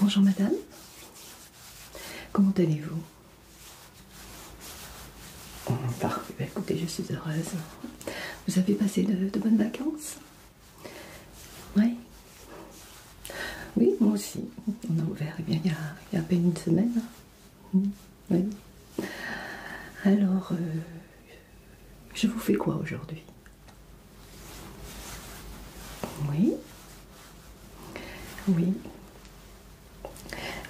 Bonjour madame, comment allez-vous oh, Parfait, bah, écoutez, je suis heureuse. Vous avez passé de, bonnes vacances Oui Oui, moi aussi. On a ouvert eh il, y a, à peine une semaine. Alors, euh, je vous fais quoi aujourd'hui oui. Oui.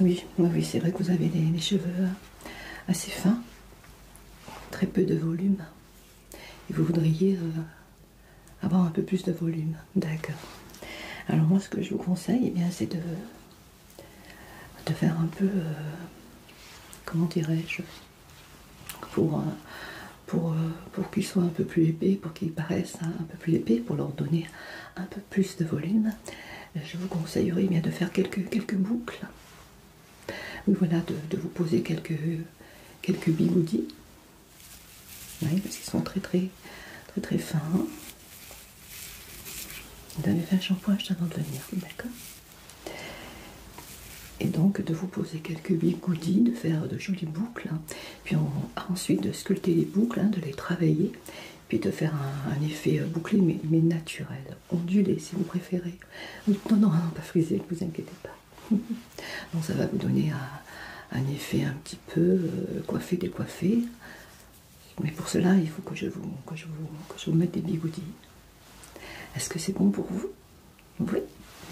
Oui, oui c'est vrai que vous avez des, cheveux euh, assez fins, très peu de volume. Et vous voudriez euh, avoir un peu plus de volume. D'accord. Alors moi, ce que je vous conseille, et eh bien, c'est de, faire un peu, euh, comment dirais-je, pour pour, euh, pour qu'ils soient un peu plus épais, pour qu'ils paraissent un peu plus épais, pour leur donner un peu plus de volume, je vous conseillerais bien de faire quelques, boucles. Oui, voilà, de, vous poser quelques, bigoudis. Oui, parce qu'ils sont très très très fins. Vous avez fait un shampoing juste avant de venir, d'accord Et donc de vous poser quelques bigoudis, de faire de jolies boucles puis on, ensuite de sculpter les boucles, hein, de les travailler, puis de faire un, effet euh, bouclé mais, naturel, ondulé si vous préférez. Non, non, non, pas frisé, ne vous inquiétez pas. Donc ça va vous donner un, effet un petit peu euh, coiffé, décoiffé. Mais pour cela, il faut que je vous, que je vous, que je vous mette des bigoudis. Est-ce que c'est bon pour vous oui,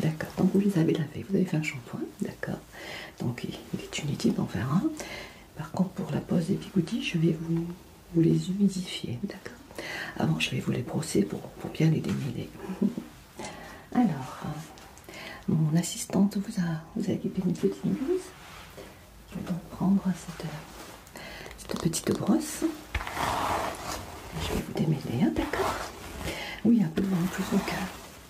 d'accord. Donc vous les avez lavés, vous avez fait un shampoing, d'accord. Donc il est inutile d'en faire un. Par contre, pour la pose des bigoudis, je vais vous, les humidifier, d'accord. Avant, je vais vous les brosser pour, bien les démêler. Alors, mon assistante vous a, vous équipé une petite brosse. Je vais donc prendre cette, cette petite brosse. Je vais vous démêler, hein, d'accord Oui, un peu moins hein, en plus, cas.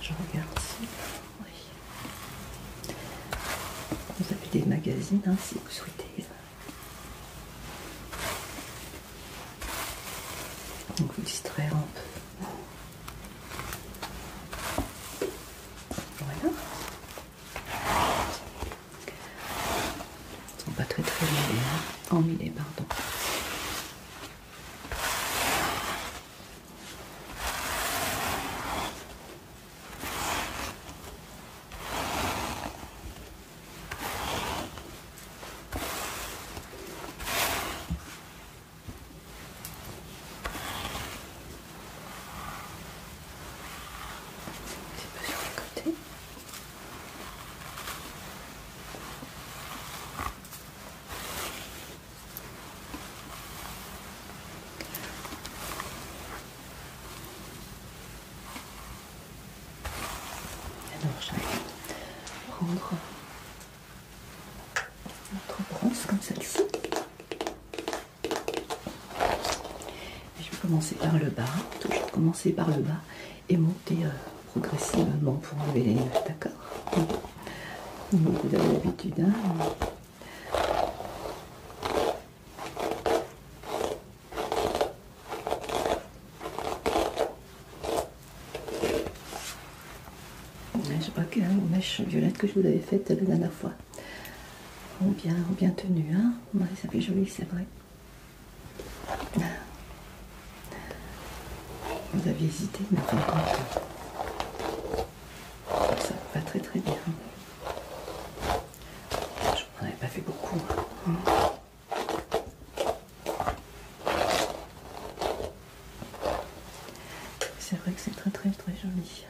Je regarde si Vous avez des magazines hein, si vous souhaitez. Donc vous distraire un peu. Voilà sont pas très très en hein oh, pardon. C'est pas sur les côtés. Alors de vais prendre notre bronze comme ça ci je vais commencer par le bas, toujours commencer par le bas et monter euh, progressivement pour enlever les nuages, d'accord vous avez l'habitude, hein Je crois que hein, la mèche violette que je vous avais faite la dernière fois. Oh bien, bien tenu, hein ça fait joli, c'est vrai. Vous aviez hésité, mais ça va très très bien. Je n'en avais pas fait beaucoup. Hein. C'est vrai que c'est très très très joli.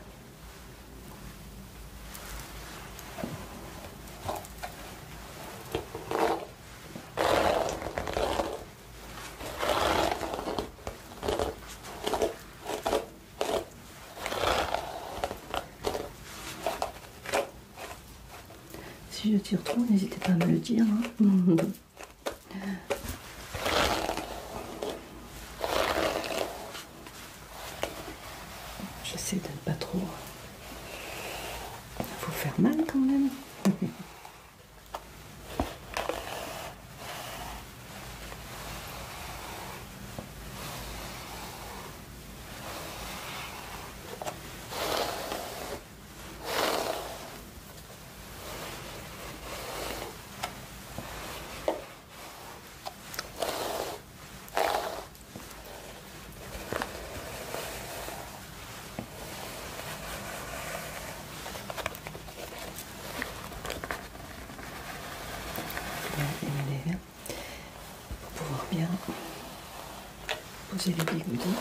Si je tire trop, n'hésitez pas à me le dire. Hein. J'essaie de ne pas trop vous faire mal quand même pour pouvoir bien poser les bigoudis.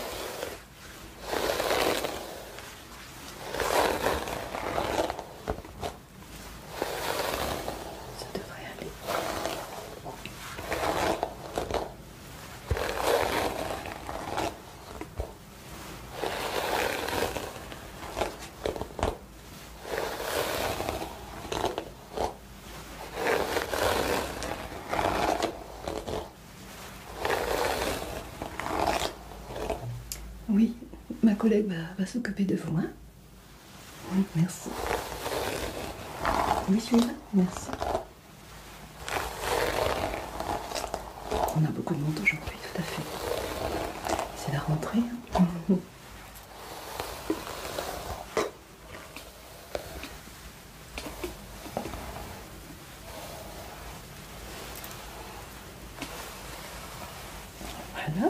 Ça devrait aller. Oui, ma collègue va, s'occuper de vous. Hein. Oui, merci. Oui, celui Merci. On a beaucoup de monde aujourd'hui, tout à fait. C'est la rentrée. Voilà.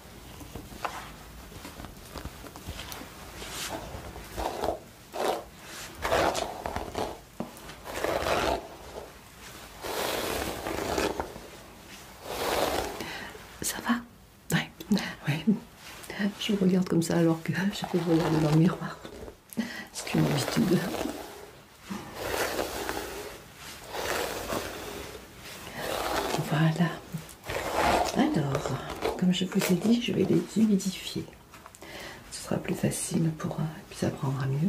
Ça va Oui, Je regarde comme ça alors que je peux regarder dans le miroir. C'est une habitude. Voilà. Alors, comme je vous ai dit, je vais les humidifier. Ce sera plus facile pour euh, puis ça prendra mieux.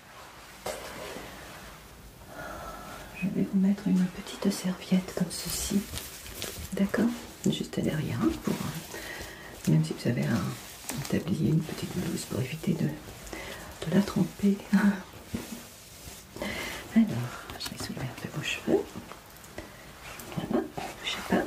Je vais vous mettre une petite serviette comme ceci, d'accord Juste derrière, hein, pour, euh, même si vous avez un, tablier, une petite blouse pour éviter de, la tromper. Alors, je vais soulever un peu vos cheveux. Voilà, ne pas.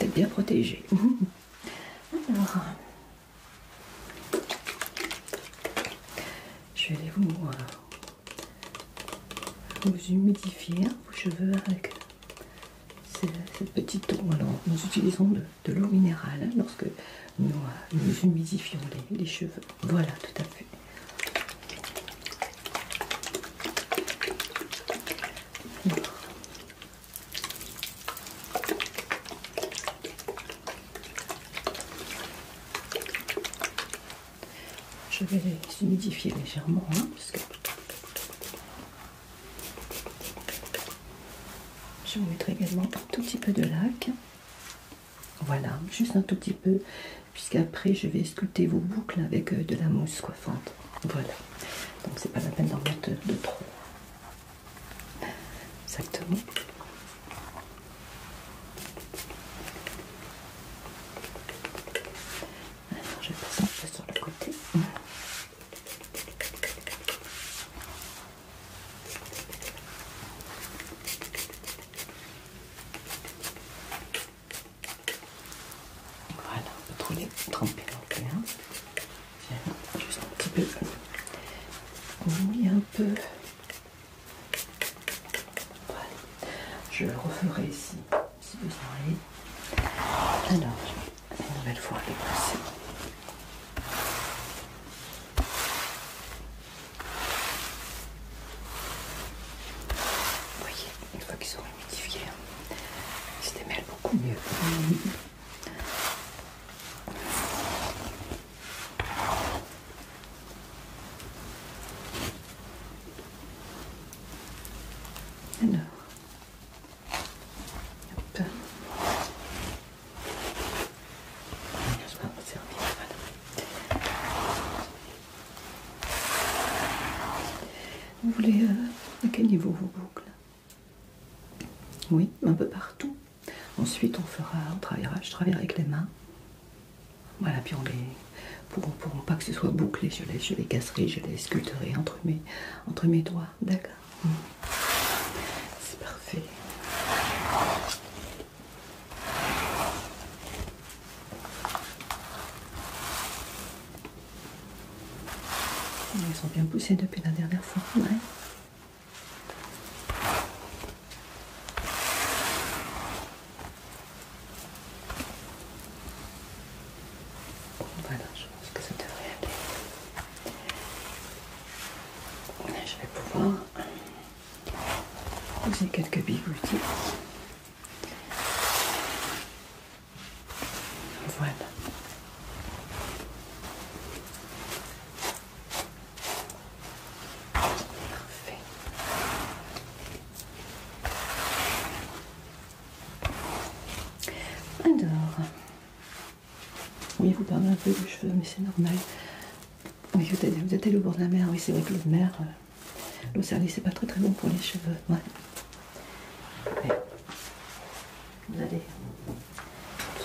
Vous bien protégé. Alors, je vais vous, euh, humidifier vos cheveux avec cette petite eau. nous utilisons de, l'eau minérale hein, lorsque nous, euh, humidifions les cheveux. Voilà, tout à fait. Je vais les humidifier légèrement, hein, je vais mettre également un tout petit peu de lac. Voilà, juste un tout petit peu, puisqu'après je vais sculpter vos boucles avec euh, de la mousse coiffante. Voilà, donc c'est pas la peine d'en mettre euh, de trop. Exactement. Alors je passe un peu sur le côté. Voilà, on peut trop tremper dans le Viens, juste un petit peu. un peu. Je referai ici, si vous en avez. Alors, une nouvelle fois, les passer. Vous voyez, une fois qu'ils sont humidifiés, hein, ils se démêlent beaucoup mieux. Alors. Vous voulez euh, à quel niveau vous boucles oui, un peu partout. Ensuite, on fera, on travaillera, je travaillerai avec les mains. Voilà, puis on les, pour, ne pas que ce soit bouclé, je les, je casserai, je les sculpterai entre mes, entre mes doigts. D'accord. Mmh. C'est parfait. Ils sont bien poussés depuis la dernière fois. Voilà, je pense que ça devrait aller. Je vais pouvoir poser quelques bigoutis. Voilà. Parfait. Alors, oui, vous perdez un peu de cheveux, mais c'est normal. Oui, vous êtes, vous êtes au bord de la mer, oui, c'est vrai que l'eau de mer, euh, l'eau c'est pas très très bon pour les cheveux. Vous allez,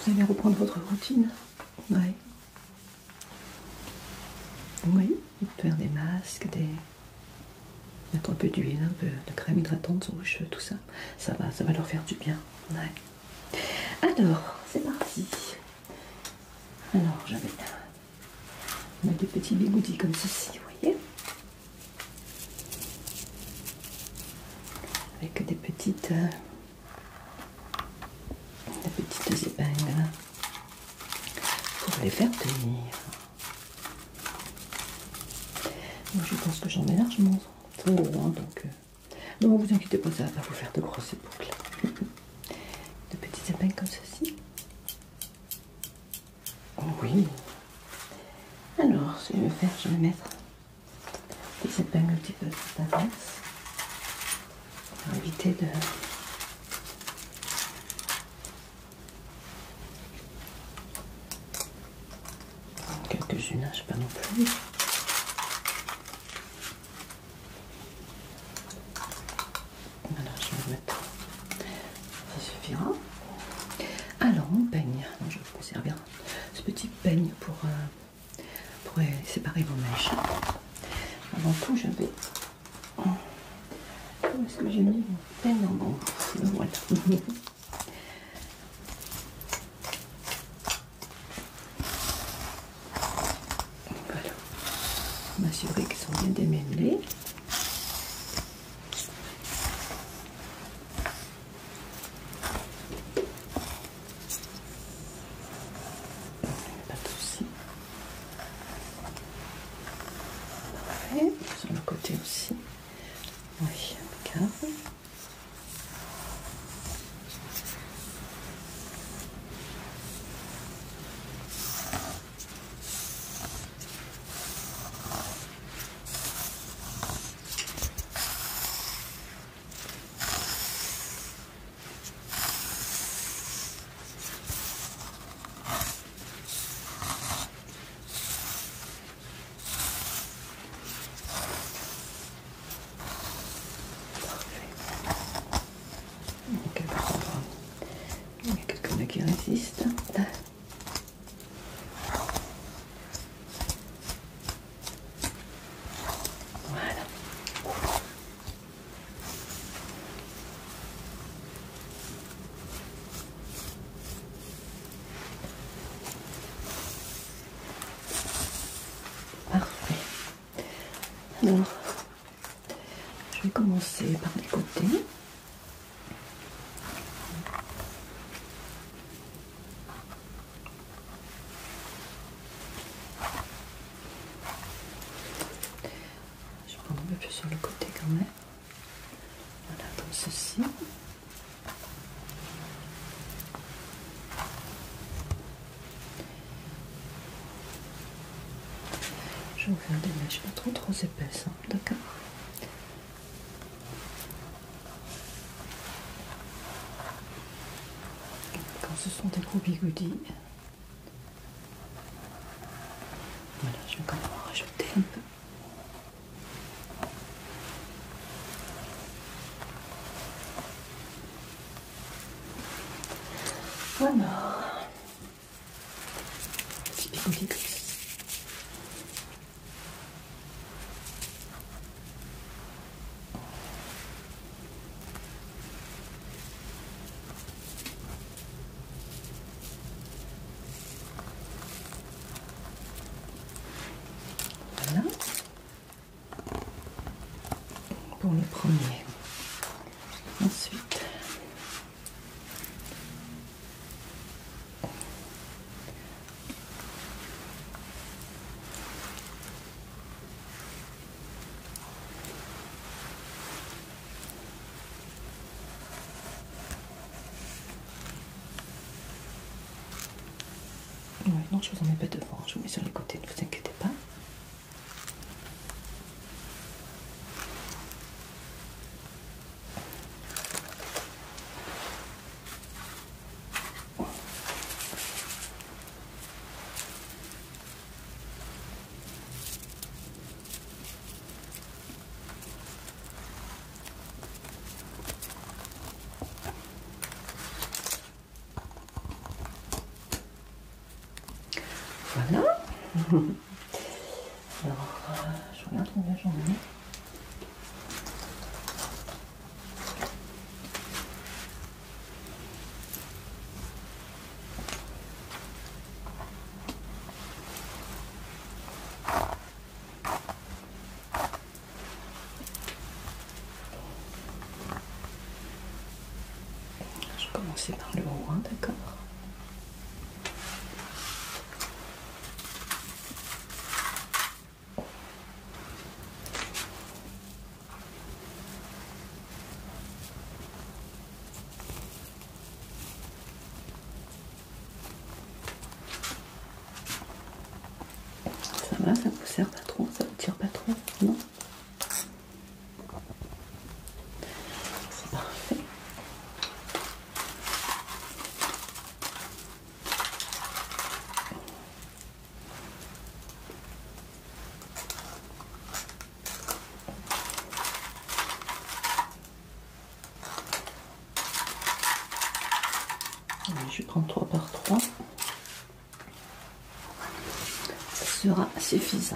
vous allez reprendre votre routine. Oui. Oui, faire des masques, des... mettre un peu d'huile, un peu de crème hydratante sur vos cheveux, tout ça. Ça va, ça va leur faire du bien. Ouais. Alors, c'est parti. Alors, j'avais euh, des petits bigoudis comme ceci, vous voyez avec des petites, euh, petites épingles hein, pour les faire tenir. je pense que j'en ai largement trop hein, donc euh, vous inquiétez pas, ça va vous faire de grosses boucles. de petites épingles comme ceci. oui. Alors, ce je vais faire, je vais mettre cette s'éloigne un petit peu de ta pour éviter de quelques-unes, pas non plus. Voilà, je vais mettre. Ça suffira. Alors, mon peigne, je vais vous servir ce petit peigne pour, euh, euh, séparer vos mèches. Avant tout, je vais. Oh, est-ce que j'ai mis mon peigne en bon euh, Voilà. voilà. M'assurer qu'ils sont bien démêlés. Pas de soucis. Parfait. Sur le côté aussi. Oui, impeccable il y a quelqu'un qui résiste. Voilà. Parfait. Alors, je vais commencer par les côtés. Je prends un peu plus sur le côté quand même. Voilà, comme ceci. Je vais vous faire des mèches pas trop trop épaisses, hein, d'accord quand ce sont des gros bigoudis, voilà, je vais quand même en rajouter un peu. Voilà. Petit bigoudis pour les premiers. Ensuite, non, je vous en mets pas devant, hein, je vous mets sur les côtés, ne vous inquiétez pas. Voilà. Alors, euh, je regarde combien j'en ai. Je vais commencer par le haut, d'accord ça va, ça vous sert pas trop, ça vous tire pas trop, non C'est parfait. Je prends 3 par 3. Ça sera suffisant.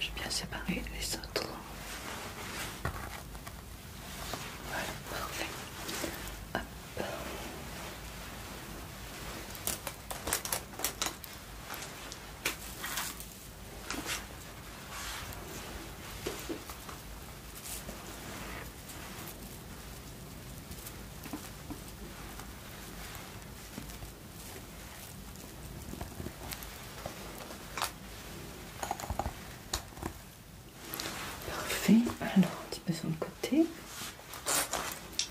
J'ai bien séparé les autres. Parfait, alors un petit peu sur le côté.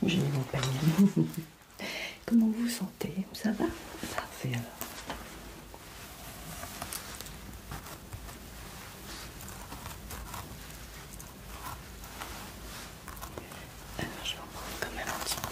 J'ai mis mon panier. Comment vous sentez vous sentez Ça va Parfait alors. Alors je vais en quand même un petit peu.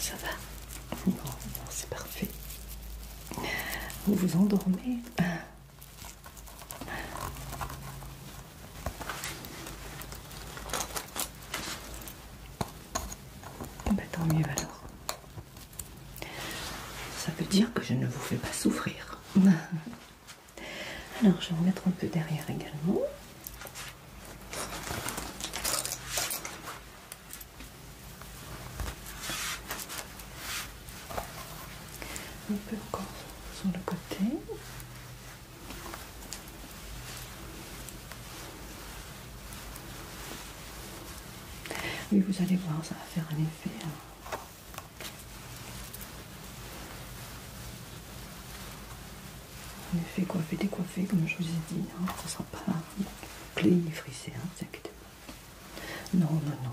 Ça va non c'est parfait. Vous vous endormez bah, tant mieux alors. Ça veut dire que je ne vous fais pas souffrir. Alors je vais en mettre un peu derrière également. Un peu encore sur le côté. Oui, vous allez voir, ça va faire un effet. Hein. Un effet coiffé, décoiffé, comme je vous ai dit. Ça hein. sera pas clé frissé, ne hein, vous pas. Non, non, non.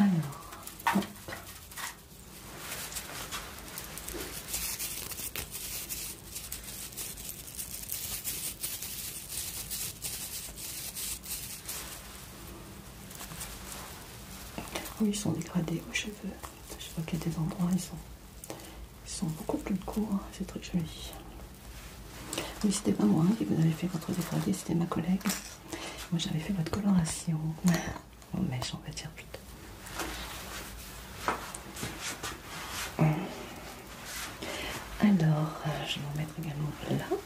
Alors, hop. sont dégradés aux cheveux. Je vois qu'il y a des endroits, ils sont ils sont beaucoup plus courts, hein, c'est très joli. Oui, c'était pas moi hein, qui vous avez fait votre dégradé, c'était ma collègue. Moi j'avais fait votre coloration. Oh mèche, on va dire plutôt. Alors, euh, je vais en mettre également là.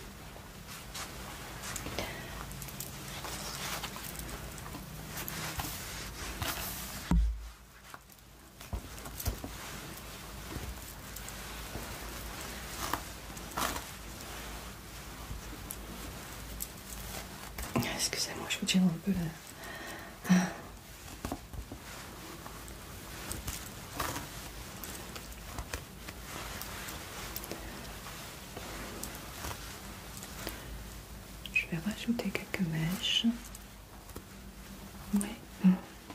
Excusez-moi, je vous tire un peu là. Je vais rajouter quelques mèches. Oui.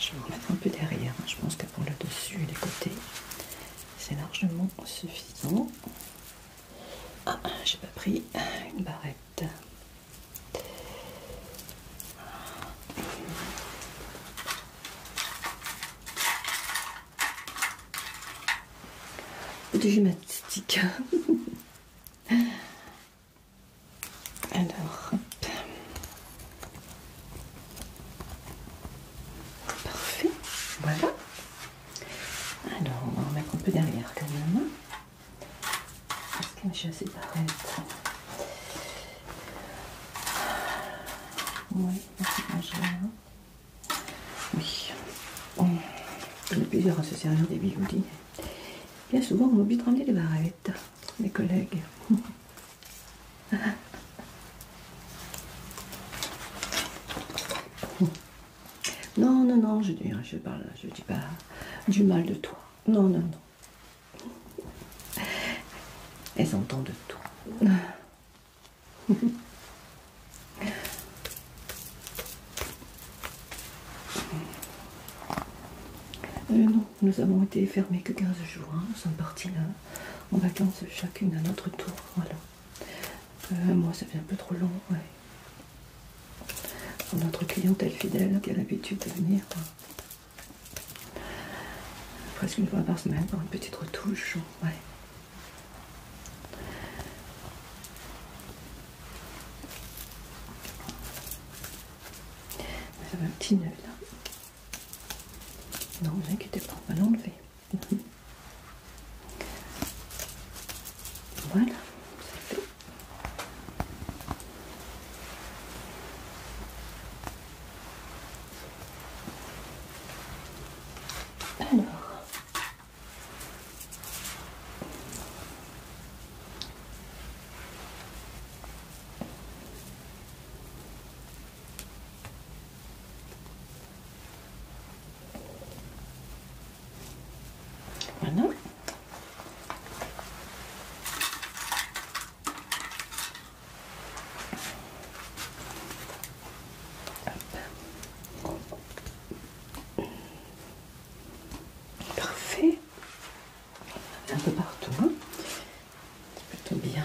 Je vais en mettre un peu derrière. Hein. Je pense que pour le dessus et les côtés, c'est largement suffisant. Ah, j'ai pas pris une barrette. Du gymnastique. Alors, Parfait, voilà. Alors, on va en mettre un peu derrière quand même. Parce que je suis assez barrette. Oui, Oui. On a plusieurs à se servir des bigoudis. Bien souvent, on oublie de ramener les barrettes, mes collègues. non, non, non, je dis, je parle, je dis pas du mal de toi. Non, non, non. Elles entendent tout. Euh, non nous avons été fermés que 15 jours. Hein. Nous sommes partis là, en vacances chacune à notre tour. Voilà. Euh, moi, ça fait un peu trop long. Ouais. Pour notre clientèle fidèle qui a l'habitude de venir presque une fois par semaine pour une petite retouche. Ouais. Ça va un petit nœud là. Non, n'inquiétez inquiétez pas, on va l'enlever. Voilà, c'est fait. Alors, Parfait. Un peu partout. Hein. C'est plutôt bien.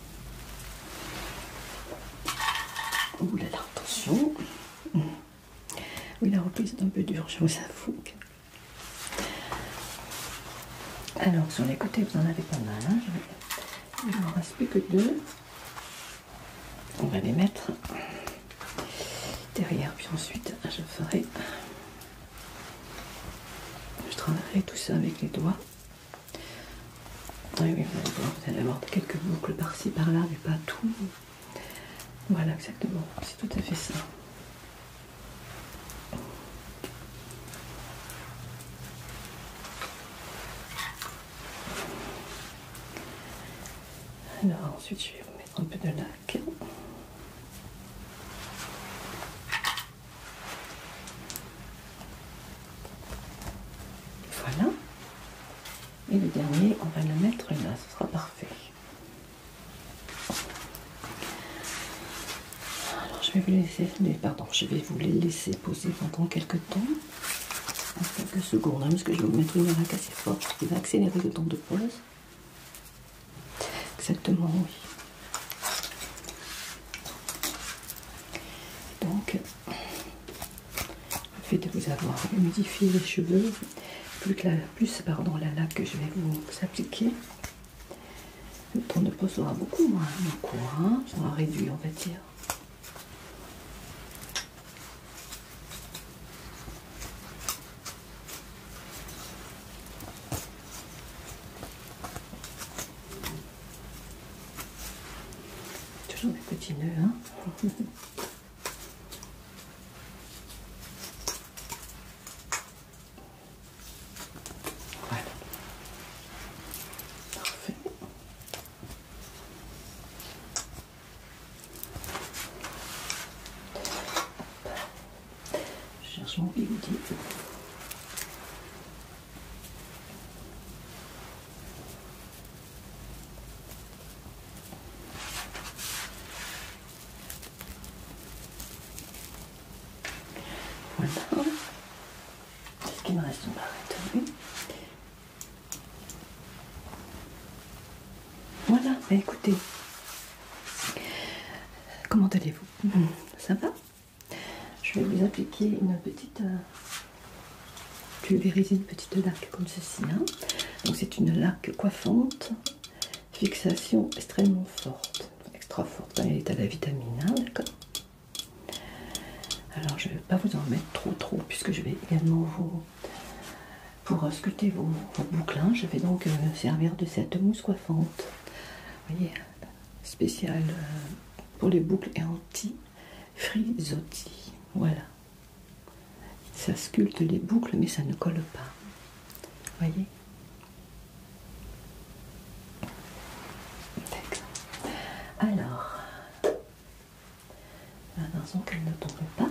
Ouh là là, attention. Oui, la reprise est un peu dure, je vous avoue. Alors, sur les côtés, vous en avez pas mal. Hein. il ne me reste plus que deux. On va les mettre derrière, puis ensuite, je ferai. Je travaillerai tout ça avec les doigts. Oui, oui, vous allez avoir quelques boucles par-ci, par-là, mais pas tout. Voilà, exactement. C'est tout à fait ça. Alors ensuite je vais mettre un peu de lac. Voilà. Et le dernier, on va le mettre là, ce sera parfait. Alors je vais vous laisser, pardon, je vais vous les laisser poser pendant quelques temps, quelques secondes, hein, parce que je vais vous mettre une raque assez forte qui va accélérer le temps de pose. Exactement, oui. Donc, le fait de vous avoir humidifié les cheveux, plus, la, plus pardon, la laque que je vais vous, appliquer, le temps de pose sera beaucoup moins court, sera réduit, on va dire. Toujours des petits nœuds. Hein voilà. Parfait. Je cherche mon bigoudi. Voilà. quest ce qui me reste Voilà, bah, écoutez. Comment allez-vous hmm. Ça va Je vais vous appliquer une petite euh, Pulvériser une petite petite comme ceci. Hein. Donc c'est une laque coiffante, fixation extrêmement forte, extra forte, ben, elle est à la vitamine, hein, A Alors je ne vais pas vous en mettre trop trop puisque je vais également vous pour sculpter vos, boucles. Hein. je vais donc me euh, servir de cette mousse coiffante. voyez, spéciale euh, pour les boucles et anti frisottis. Voilà. Ça sculpte les boucles, mais ça ne colle pas. Voyez D'accord. Alors, attention qu'elle ne tombe pas.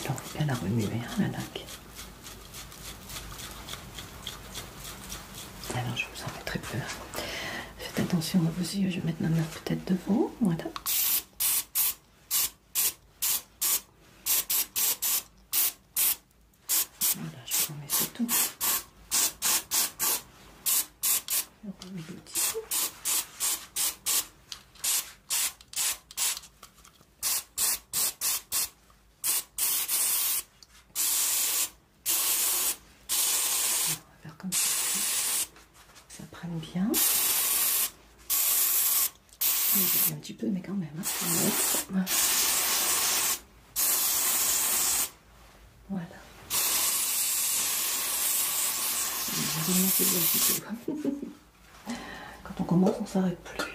Alors, elle a remué la hein, remuer, la laque. Alors je vous en mettrai plus. Faites attention à vos yeux, je vais mettre ma main peut-être devant. Voilà. Voilà, je remets tout. Je remets le petit coup. On va faire comme ça. Ça prenne bien. un petit peu, mais quand même. Hein. Voilà. Quand on commence, on s'arrête plus.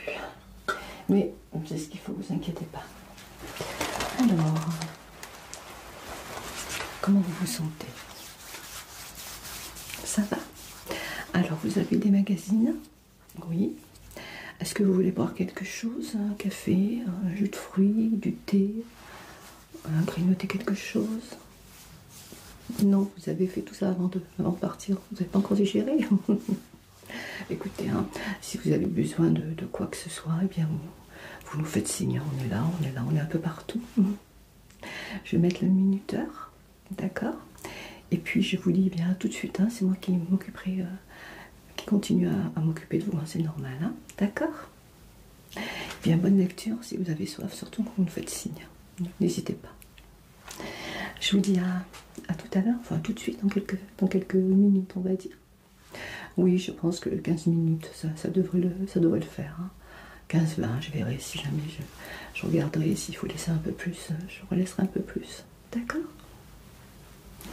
Mais c'est ce qu'il faut, vous inquiétez pas. Alors. Comment vous vous sentez Ça va Alors, vous avez des magazines Oui. Est-ce que vous voulez boire quelque chose Un café, un jus de fruits, du thé Grignoter quelque chose Non, vous avez fait tout ça avant de, avant partir. Vous n'avez pas encore digéré Écoutez, hein, si vous avez besoin de, quoi que ce soit, eh bien, vous nous faites signe, hein. on est là, on est là, on est un peu partout. Je vais mettre le minuteur, d'accord Et puis je vous dis bien tout de suite, hein, c'est moi qui m'occuperai, euh, qui continue à, m'occuper de vous, hein, c'est normal, d'accord eh Bien bonne lecture si vous avez soif, surtout quand vous nous faites signe. N'hésitez pas. Je vous dis à, tout à l'heure, enfin tout de suite, dans quelques minutes on va dire. Oui, je pense que 15 minutes, ça, ça, devrait, le, ça devrait le faire. 15-20, hein. je verrai si jamais je, je regarderai s'il faut laisser un peu plus. Euh, je relaisserai un peu plus. D'accord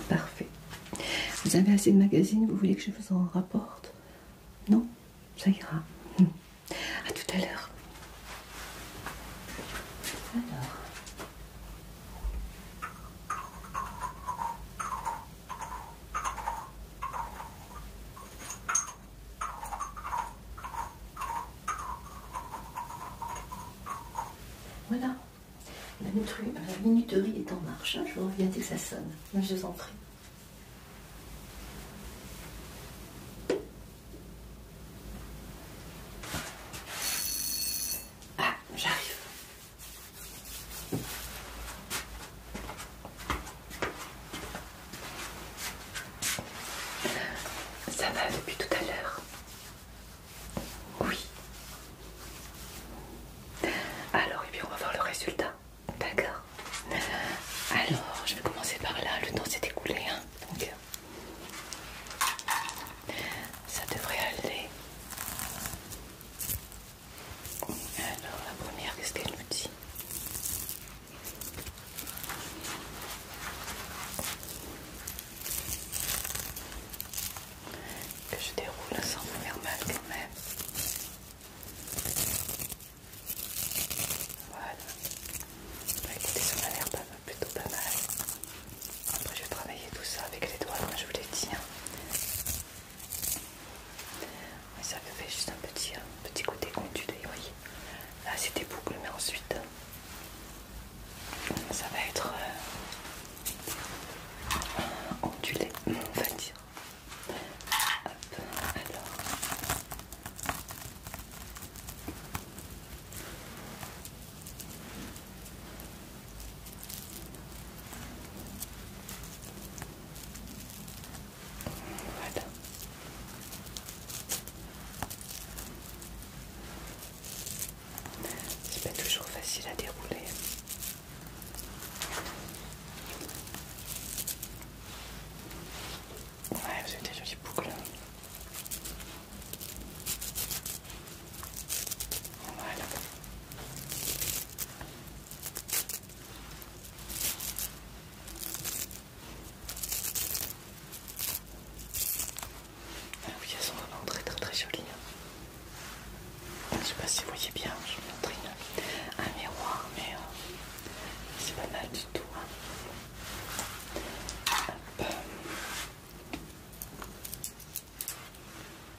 Parfait. Vous avez assez de magazines, vous voulez que je vous en rapporte Non Ça ira. A tout à l'heure. Alors. Voilà, la, minuterie est en marche. Hein. Je vous reviens dès que ça sonne. Je vous en prie. Ah, j'arrive. Ça va depuis tout à l'heure Oui. Alors, et bien, on va voir le résultat. D'accord. Alors, je vais commencer par là. Le temps s'est écoulé. Hein ça devrait aller. Alors la première, qu'est-ce qu'elle nous dit Que je déroule sans vous faire mal quand même. Voilà. Bah, Elle ça m'a l'air plutôt pas mal. Après, je vais travailler tout ça avec les doigts, comme je vous l'ai dit. Hein ça fait juste un petit, petit côté ondulé, oui. Là c'était des mais ensuite ça va être euh, ondulé, on va dire. Hop, alors. C'est pas toujours facile à dérouler. Ouais, vous avez des jolies boucles. Voilà. Ah oui, elles sont vraiment très très très jolies. Je hein. Je sais pas si vous voyez bien, je vous montre un miroir, mais euh, c'est pas mal du tout. Hein.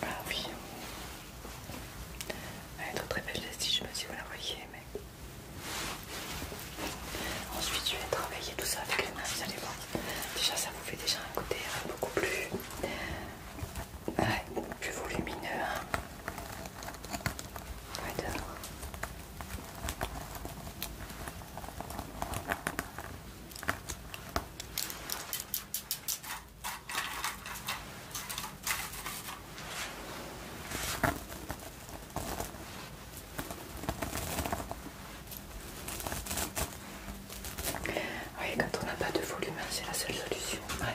Ah oui. Elle est très belle si je me si vous la voyez, mais... Ensuite, je vais travailler tout ça avec les mains, vous allez voir. Déjà, ça vous fait déjà un côté euh, beaucoup plus... plus volumineux. Hein. Ouais, Oui, quand on n'a pas de volume, hein, c'est la seule solution. Ouais.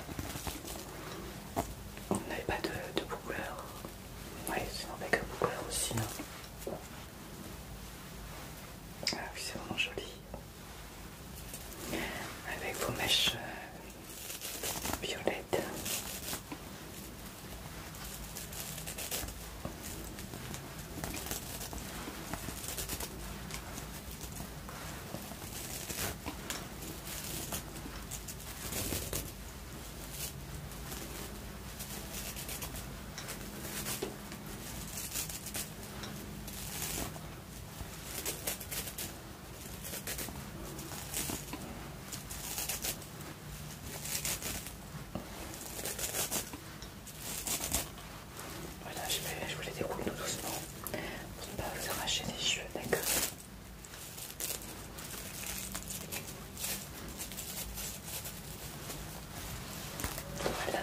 On n'avait pas de, de Oui, Ouais, sinon avec un couleur aussi. Hein. Ah oui, c'est vraiment joli. Avec vos mèches euh, violettes. Voilà, je, vais, je vous les déroule doucement pour ne pas vous arracher les cheveux, d'accord voilà.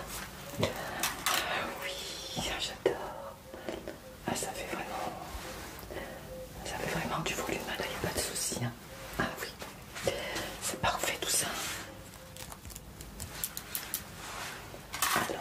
Ah oui, j'adore. Ah ça fait vraiment. Ça fait vraiment du volume, il hein, n'y a pas de souci. Hein. Ah oui. C'est parfait tout ça. Alors.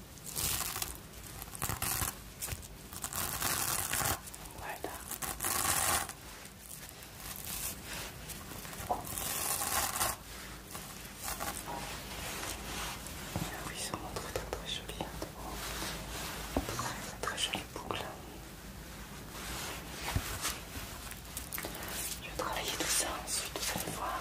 Voilà. Ah oui, c'est vraiment très très joli. très très très jolie boucle. Je vais travailler tout ça ensuite, vous allez voir.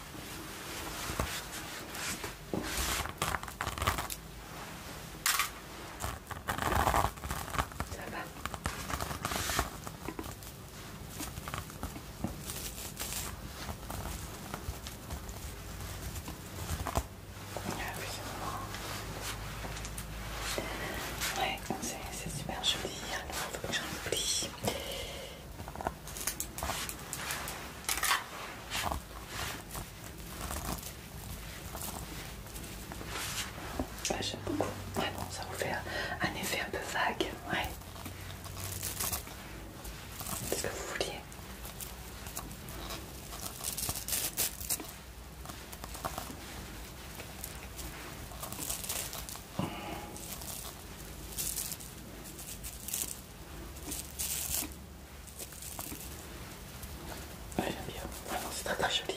Ça va Ouais, c'est super joli. Alors, ah il faut que j'en oublie. Ah, j'aime beaucoup. Ouais, bon, ça vous fait un effet un peu vague. Ouais. C'est ce que vous vouliez. Ouais, j'aime bien. Ah c'est très très joli.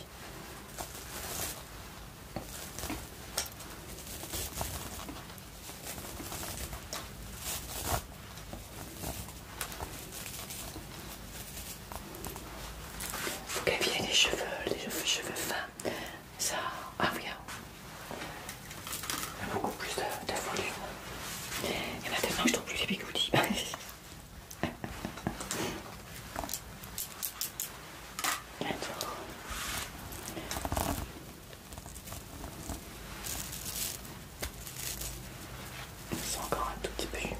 Il Vous gaviez les cheveux, les cheveux fins ça ah oui, hein. y a beaucoup plus de, volume. Il y en a tellement je trouve plus les bigoudis. ils C'est encore un tout petit peu humide.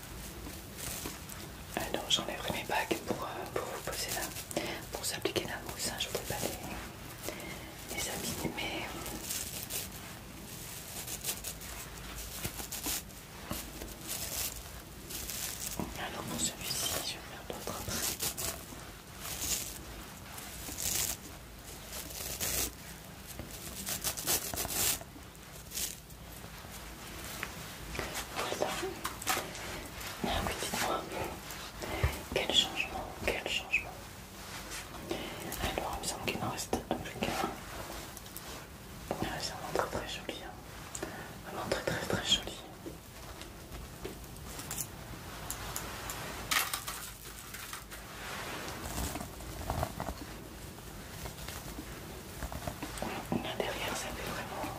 Alors euh, j'enlèverai mes bagues euh, pour, vous poser là, pour s'appliquer la mousse. Hein, je ne voulais pas les, abîmer. Hum. Alors pour celui-ci, je vais faire l'autre après. Voilà. Ah oui, dites-moi. Quel changement, quel changement. Alors, il me semble qu'il en reste plus qu'un. Ah, c'est vraiment très très joli. Vraiment hein. très très très joli derrière, ça fait vraiment.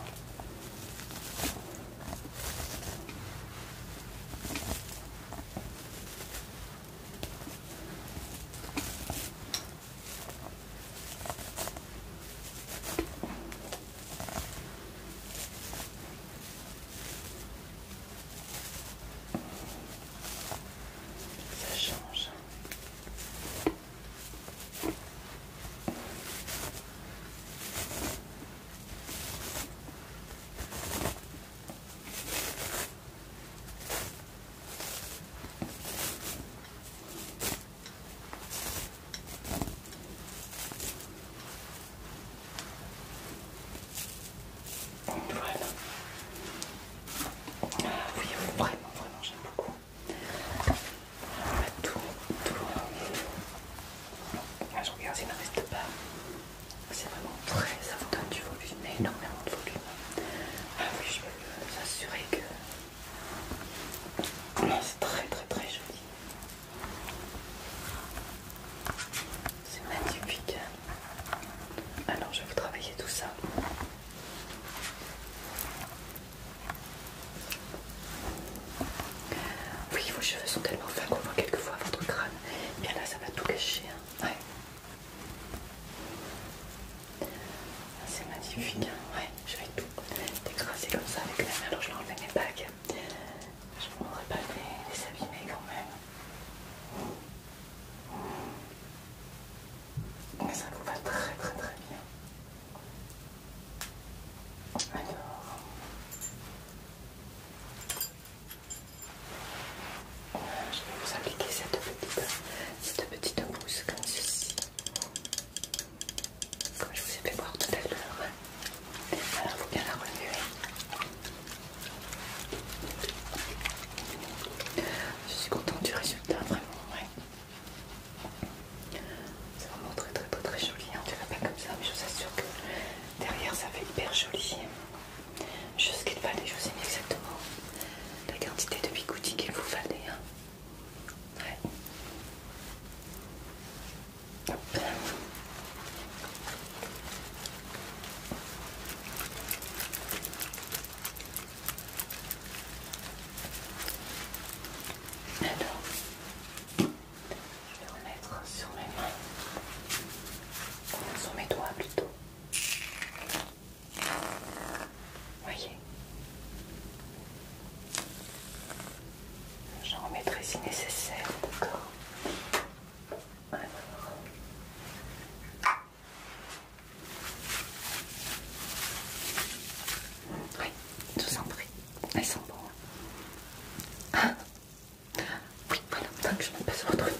Ça change. Voilà. Ah oui, vraiment, vraiment, j'aime beaucoup. Tout, tout. je regarde s'il ne reste pas. C'est vraiment très, ça vous donne du volume, énormément de volume. Ah oui, je peux vous assurer que c'est très, très, très joli. C'est magnifique. Alors, je vais vous travailler tout ça. Oui, vos cheveux sont tellement fins qu'on voit quelquefois votre crâne. Et bien là, ça va tout cacher. Hein. Ah, c'est magnifique. Hein. je vais tout décraser comme ça avec la main. Alors, je vais enlever mes bagues. Je ne voudrais pas les, les abîmer quand même. Mais ça vous va très très très bien. Alors. Je vais vous appliquer cette petite, cette mousse comme ceci. Comme je vous ai fait voir tout à l'heure. Alors il faut bien la remuer. Je suis contente du résultat, vraiment. Ouais. C'est vraiment très très très très joli. Hein. Tu vas pas comme ça, mais je vous assure que derrière ça fait hyper joli. Je ce qu'il fallait, je vous ai mis exactement la quantité de bigoutis qu'il vous fallait. Hein. Alors, je vais remettre sur mes mains, sur mes doigts plutôt. Voyez, j'en remettrai si nécessaire, d'accord oui, je vous en prie. Elles sont bonnes. Hein. Ah. Oui, voilà, donc je me passe le truc.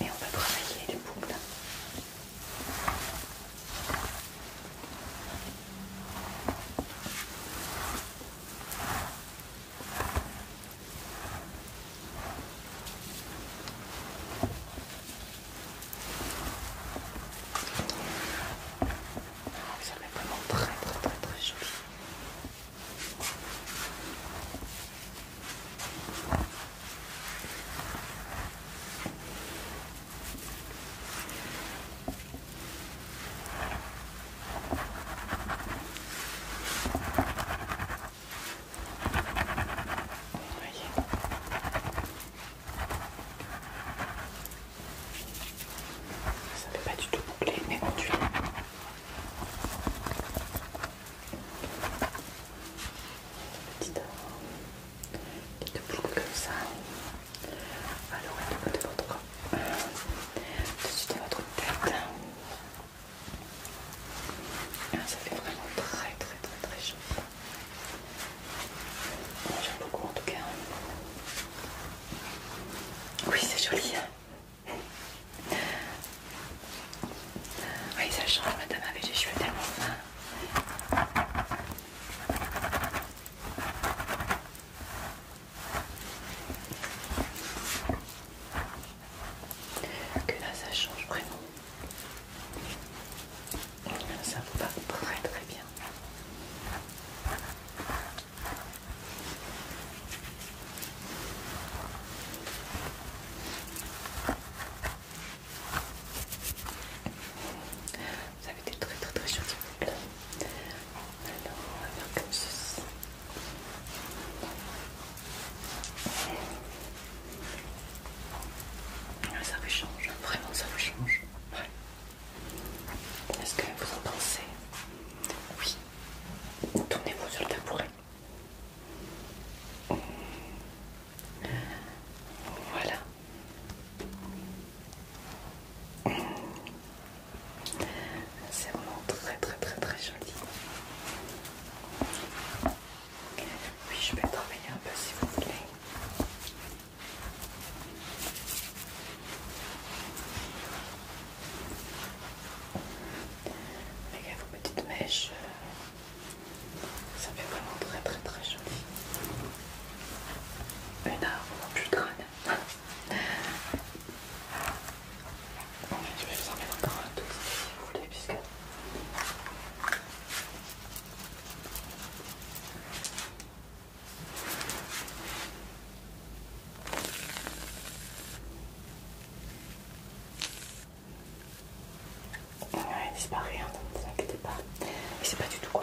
Et on va travailler les boucles. Ça vraiment très très très très joli. Ça ne fait pas du tout boucler, mais on tue. Petite boucle comme ça. Alors, de votre, dessus de votre tête. Ah, ça fait vraiment très très très très chaud. J'aime beaucoup en tout cas. Oui, c'est joli. oui, ça change, madame avait les cheveux tellement fins. Que là, ça change vraiment. Ça vous va très très bien. Vous avez été très très très jolis. Alors, on va faire comme ceci. Ah, ça vous change, vraiment ça vous change. Est-ce que vous en pensez Oui. Tournez-vous sur le tabouret. Voilà. C'est vraiment très très très très joli. Oui, je vais travailler un peu si vous voulez gars, vos petites mèches, euh, ça fait vraiment très très très joli. Une arbre plus crâne. Bon, je vais vous en mettre encore un tout petit si vous voulez, puisque disparaît, ne vous pas. c'est pas du tout quoi.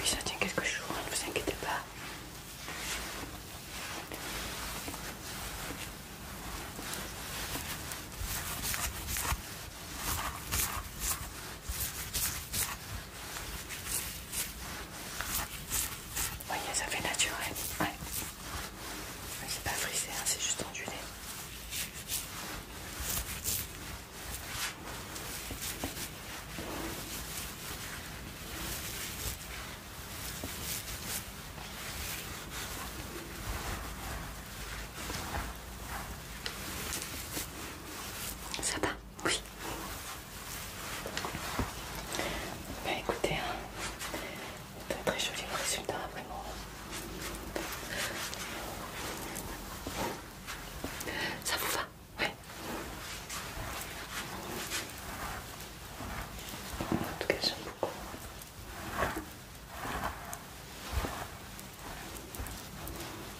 Oui, ça tient quelque chose, ne vous inquiétez pas. Vous ça fait naturel. Ouais. C'est pas frisé, hein, c'est juste ondulé. Ça va Oui. Ben écoutez, hein. très très joli résultat, vraiment. Ça vous va Oui, En tout cas, j'aime beaucoup.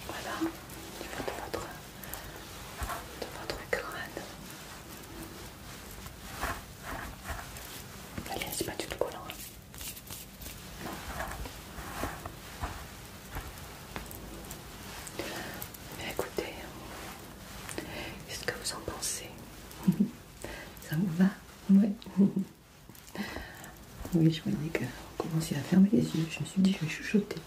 Voilà, du fond de votre, de votre crâne. Allez, c'est pas du tout collant. Hein. Mais écoutez, qu'est-ce que vous en pensez Ça vous va Oui. Oui, je voyais que vous à fermer les yeux. Je me suis dit, je vais chuchoter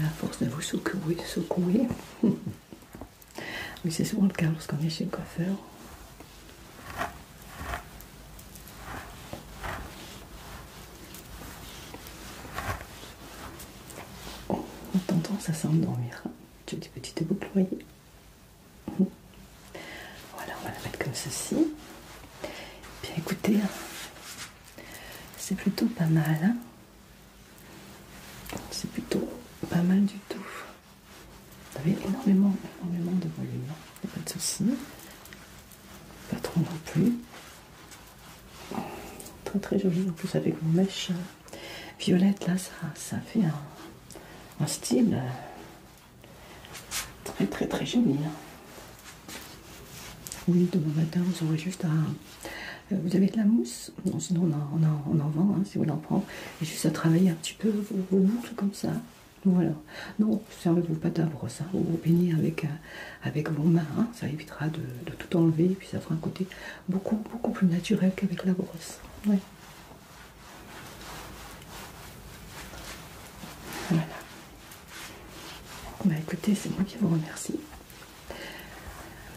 la force de vous secouer, secouer. Oui, c'est souvent le cas lorsqu'on est chez le coiffeur. On en tendance à s'endormir. Hein. des petite boucle, vous voyez. Voilà, on va la mettre comme ceci. Bien écoutez, hein. c'est plutôt pas mal. Hein. C'est plutôt pas mal du tout. Vous avez énormément, énormément de volume, hein. pas de soucis. Pas trop non plus. Très très joli en plus avec vos mèches euh, violettes là, ça, ça fait un, style euh, très très très joli. Hein. oui, demain matin, vous aurez juste un. Euh, vous avez de la mousse Non, sinon on en, vend hein, si vous en prend. Et juste à travailler un petit peu vos, boucles comme ça. Voilà. Non, servez-vous pas à brosse. vous baignez euh, avec, vos mains. Hein. ça évitera de, tout enlever. Et puis ça fera un côté beaucoup, beaucoup plus naturel qu'avec la brosse. Voilà. Bah écoutez, c'est moi qui vous remercie.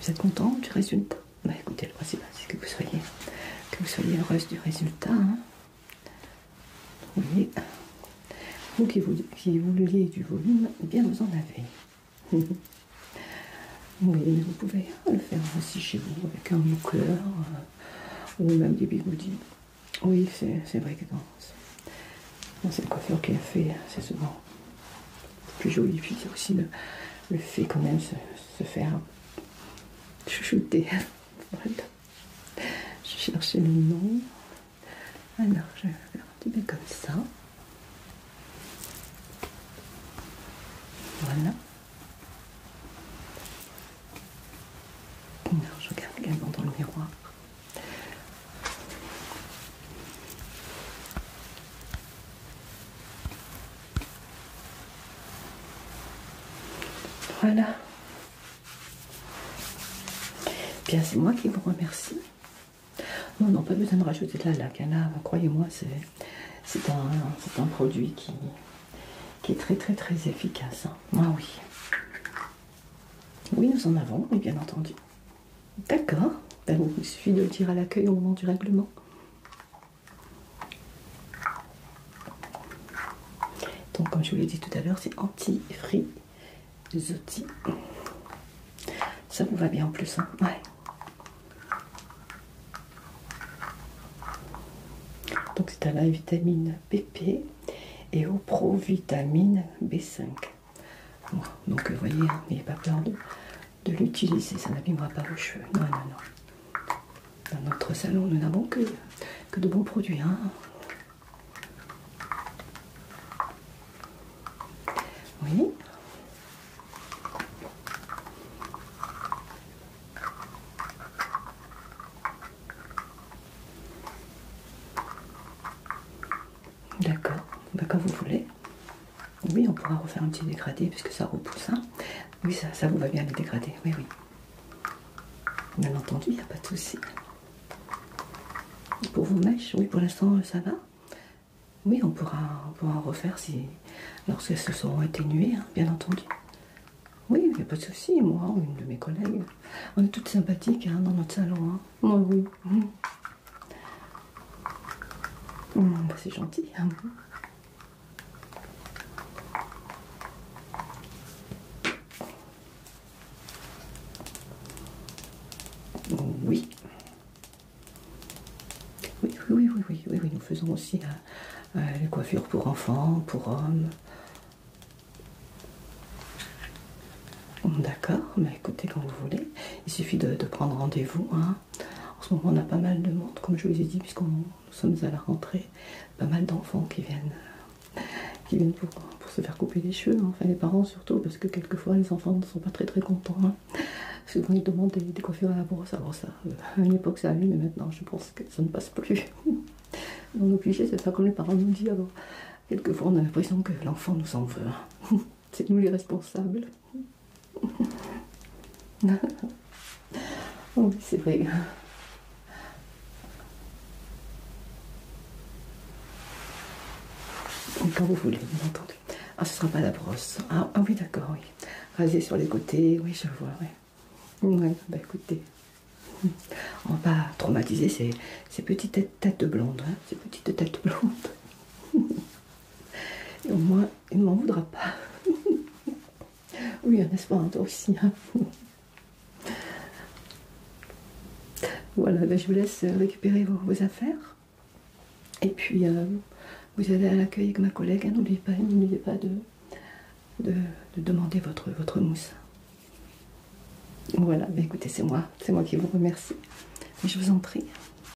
Vous êtes content du résultat Bah écoutez, le hein, c'est que vous soyez que vous soyez heureuse du résultat. Hein. Vous qui, vouliez du volume, eh bien vous en avez. oui, vous pouvez le faire aussi chez vous avec un moucleur euh, ou même des bigoudis. Oui, c'est vrai que dans, C'est cette coiffure qui a fait, c'est souvent plus joli. Puis il y a aussi le, fait quand même se, se faire chouchouter. voilà. Je cherchais le nom. Alors je vais faire un petit peu comme ça. Voilà. Alors, je regarde également dans le miroir. Voilà. Bien, c'est moi qui vous remercie. Non, non, pas besoin de rajouter de la laque. Bah, croyez-moi, c'est un, produit qui, est très, très, très efficace. moi hein. ah oui. Oui, nous en avons, bien entendu. D'accord. Ben, il suffit de le dire à l'accueil au moment du règlement. Donc, comme je vous l'ai dit tout à l'heure, c'est anti zotti Ça vous va bien en plus, hein. Ouais. Donc, c'est à la vitamine BP et au provitamine B5 donc vous euh, voyez, hein, n'ayez pas peur de, l'utiliser, ça n'abîmera pas vos cheveux. Non, non, non. Dans notre salon, nous n'avons que, de bons produits. Hein. Oui. D'accord, quand bah, vous voulez. Oui, on pourra refaire un petit dégradé puisque ça repousse. Hein. Oui, ça, vous va bien les dégradés. Oui, oui. Bien entendu, il n'y a pas de souci. Pour vos mèches, oui, pour l'instant, ça va. Oui, on pourra, pourra en refaire si, se seront atténuées, hein, bien entendu. Oui, il n'y a pas de souci. Moi, une de mes collègues, on est toutes sympathiques hein, dans notre salon. Oui, oui. Mmh, bah, c'est gentil. oui. Oui, oui, oui, oui, oui, oui, nous faisons aussi euh, euh, les coiffures pour enfants, pour hommes. Mmh, d'accord, mais écoutez quand vous voulez, il suffit de, prendre rendez-vous. Hein. En ce moment, on a pas mal de monde, comme je vous ai dit, puisqu'on nous sommes à la rentrée, pas mal d'enfants qui viennent, qui viennent pour, se faire couper les cheveux, hein, enfin les parents surtout, parce que quelquefois les enfants ne sont pas très très contents. Hein. Souvent, ils demandent des, coiffures à la brosse. Alors, ça, euh, à une époque, ça allait, mais maintenant, je pense que ça ne passe plus. On est obligé, c'est ça comme les parents nous disent. Alors, quelquefois, on a l'impression que l'enfant nous en veut. Hein. c'est nous les responsables oui, c'est vrai. Quand vous voulez, vous entendu. Ah, ce sera pas la brosse. Ah, ah oui, d'accord, oui. Raser sur les côtés, oui, je vois, oui. bah écoutez. On va pas traumatiser ces, petites têtes, blondes, hein, ces petites têtes blondes. Et au moins, il ne m'en voudra pas. oui, n'est-ce pas, toi aussi. Hein. voilà, ben, je vous laisse euh, récupérer vos, affaires. Et puis, euh, vous allez à l'accueil avec ma collègue. Hein. N'oubliez pas, n'oubliez pas de, demander votre, mousse. Voilà, ben, écoutez, c'est moi. C'est moi qui vous remercie. je vous en prie.